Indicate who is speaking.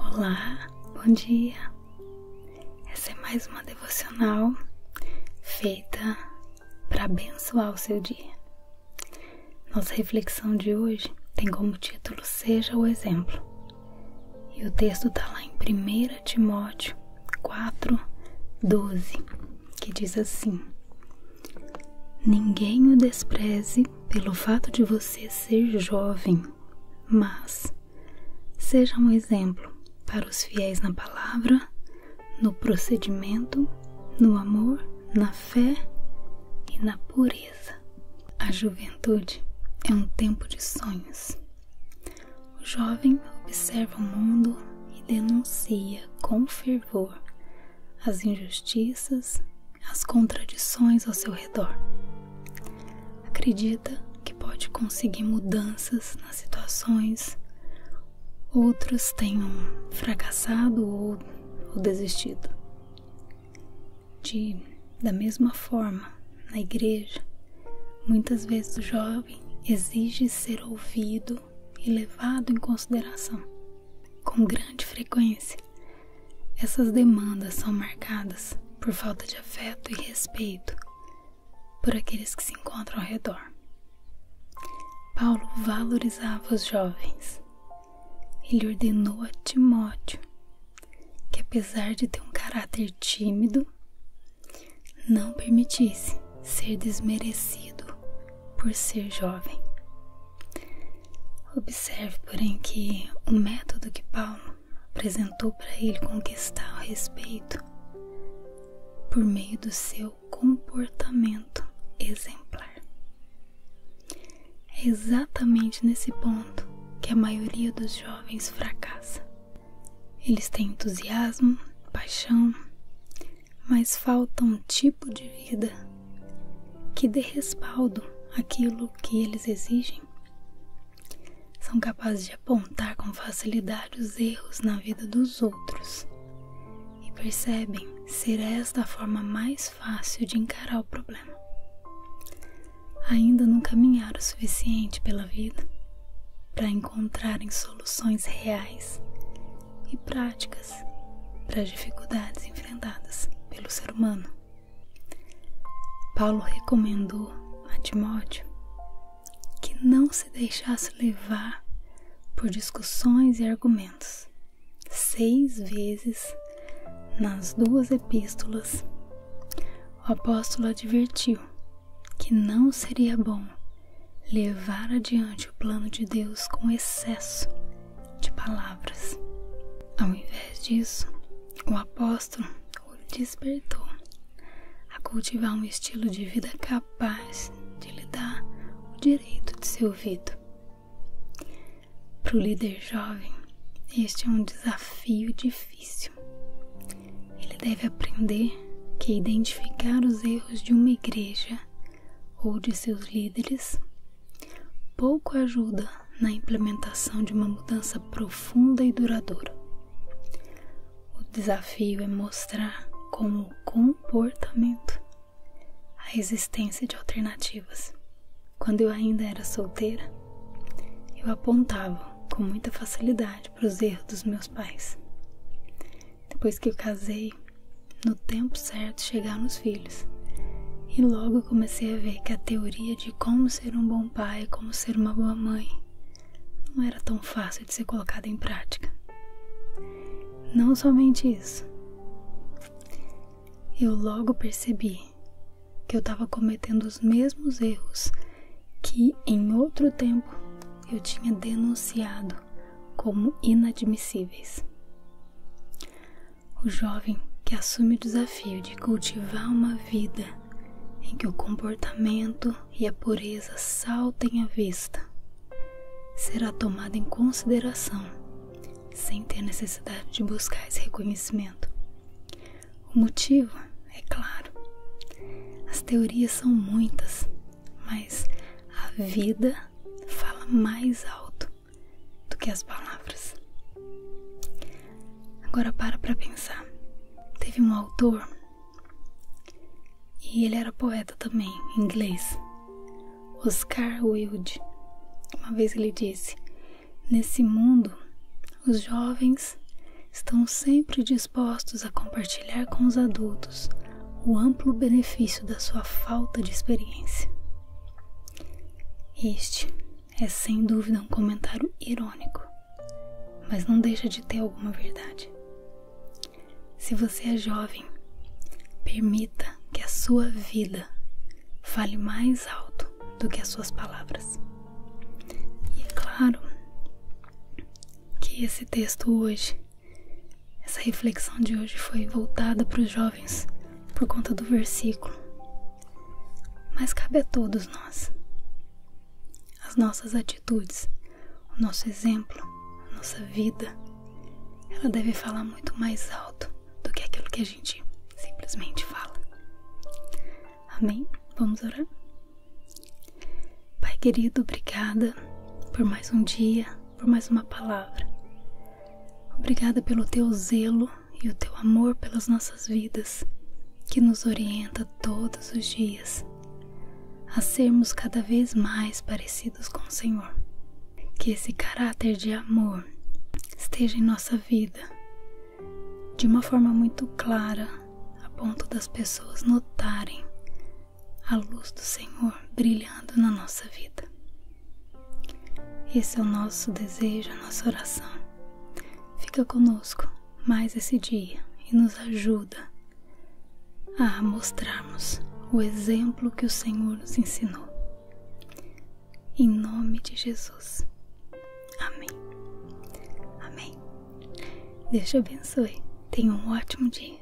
Speaker 1: Olá, bom dia. Essa é mais uma devocional feita para abençoar o seu dia. Nossa reflexão de hoje tem como título Seja o Exemplo. E o texto está lá em primeira. 1 Timóteo 4, 12, que diz assim: Ninguém o despreze pelo fato de você ser jovem, mas seja um exemplo para os fiéis na palavra, no procedimento, no amor, na fé e na pureza. A juventude é um tempo de sonhos o jovem observa o mundo e denuncia com fervor as injustiças, as contradições ao seu redor. Acredita que pode conseguir mudanças nas situações, outros tenham fracassado ou, ou desistido de da mesma forma na igreja muitas vezes o jovem exige ser ouvido e levado em consideração com grande frequência essas demandas são marcadas por falta de afeto e respeito por aqueles que se encontram ao redor Paulo valorizava os jovens ele ordenou a Timóteo que, apesar de ter um caráter tímido, não permitisse ser desmerecido por ser jovem. Observe, porém, que o método que Paulo apresentou para ele conquistar o respeito por meio do seu comportamento exemplar. É exatamente nesse ponto que a maioria dos jovens fracassa. Eles têm entusiasmo, paixão, mas falta um tipo de vida que dê respaldo àquilo que eles exigem. São capazes de apontar com facilidade os erros na vida dos outros e percebem ser esta a forma mais fácil de encarar o problema. Ainda não caminharam o suficiente pela vida para encontrarem soluções reais e práticas para as dificuldades enfrentadas pelo ser humano. Paulo recomendou a Timóteo que não se deixasse levar por discussões e argumentos seis vezes nas duas epístolas, o apóstolo advertiu que não seria bom levar adiante o plano de Deus com excesso de palavras. Ao invés disso, o apóstolo despertou a cultivar um estilo de vida capaz capaz de lhe dar o direito de ser ouvido. Para o líder jovem, este é um desafio difícil. Ele deve aprender que identificar os erros de uma igreja ou de seus líderes pouco ajuda na implementação de uma mudança profunda e duradoura. O desafio é mostrar como o comportamento, a existência de alternativas. Quando eu ainda era solteira, eu apontava com muita facilidade para os erros dos meus pais. Depois que eu casei, no tempo certo chegaram os filhos. E logo comecei a ver que a teoria de como ser um bom pai, como ser uma boa mãe, não era tão fácil de ser colocada em prática. Não somente isso, eu logo percebi que eu estava cometendo os mesmos erros que em outro tempo eu tinha denunciado como inadmissíveis. O jovem que assume o desafio de cultivar uma vida em que o comportamento e a pureza saltem à vista, será tomado em consideração sem ter necessidade de buscar esse reconhecimento. O motivo é claro. As teorias são muitas, mas a vida fala mais alto do que as palavras. Agora para para pensar. Teve um autor e ele era poeta também, inglês, Oscar Wilde. Uma vez ele disse: Nesse mundo, os jovens estão sempre dispostos a compartilhar com os adultos o amplo benefício da sua falta de experiência. Este é sem dúvida um comentário irônico, mas não deixa de ter alguma verdade. Se você é jovem, permita que a sua vida fale mais alto do que as suas palavras. E é claro que esse texto hoje, essa reflexão de hoje foi voltada para os jovens por conta do versículo, mas cabe a todos nós. As nossas atitudes, o nosso exemplo, a nossa vida, ela deve falar muito mais alto do que aquilo que a gente simplesmente fala. Amém? Vamos orar? Pai querido, obrigada por mais um dia, por mais uma palavra. Obrigada pelo teu zelo e o teu amor pelas nossas vidas, que nos orienta todos os dias a sermos cada vez mais parecidos com o Senhor. Que esse caráter de amor esteja em nossa vida de uma forma muito clara, a ponto das pessoas notarem a luz do Senhor brilhando na nossa vida. Esse é o nosso desejo, a nossa oração. Fica conosco mais esse dia e nos ajuda a mostrarmos o exemplo que o Senhor nos ensinou. Em nome de Jesus. Amém. Amém. Deus te abençoe. Tenha um ótimo dia.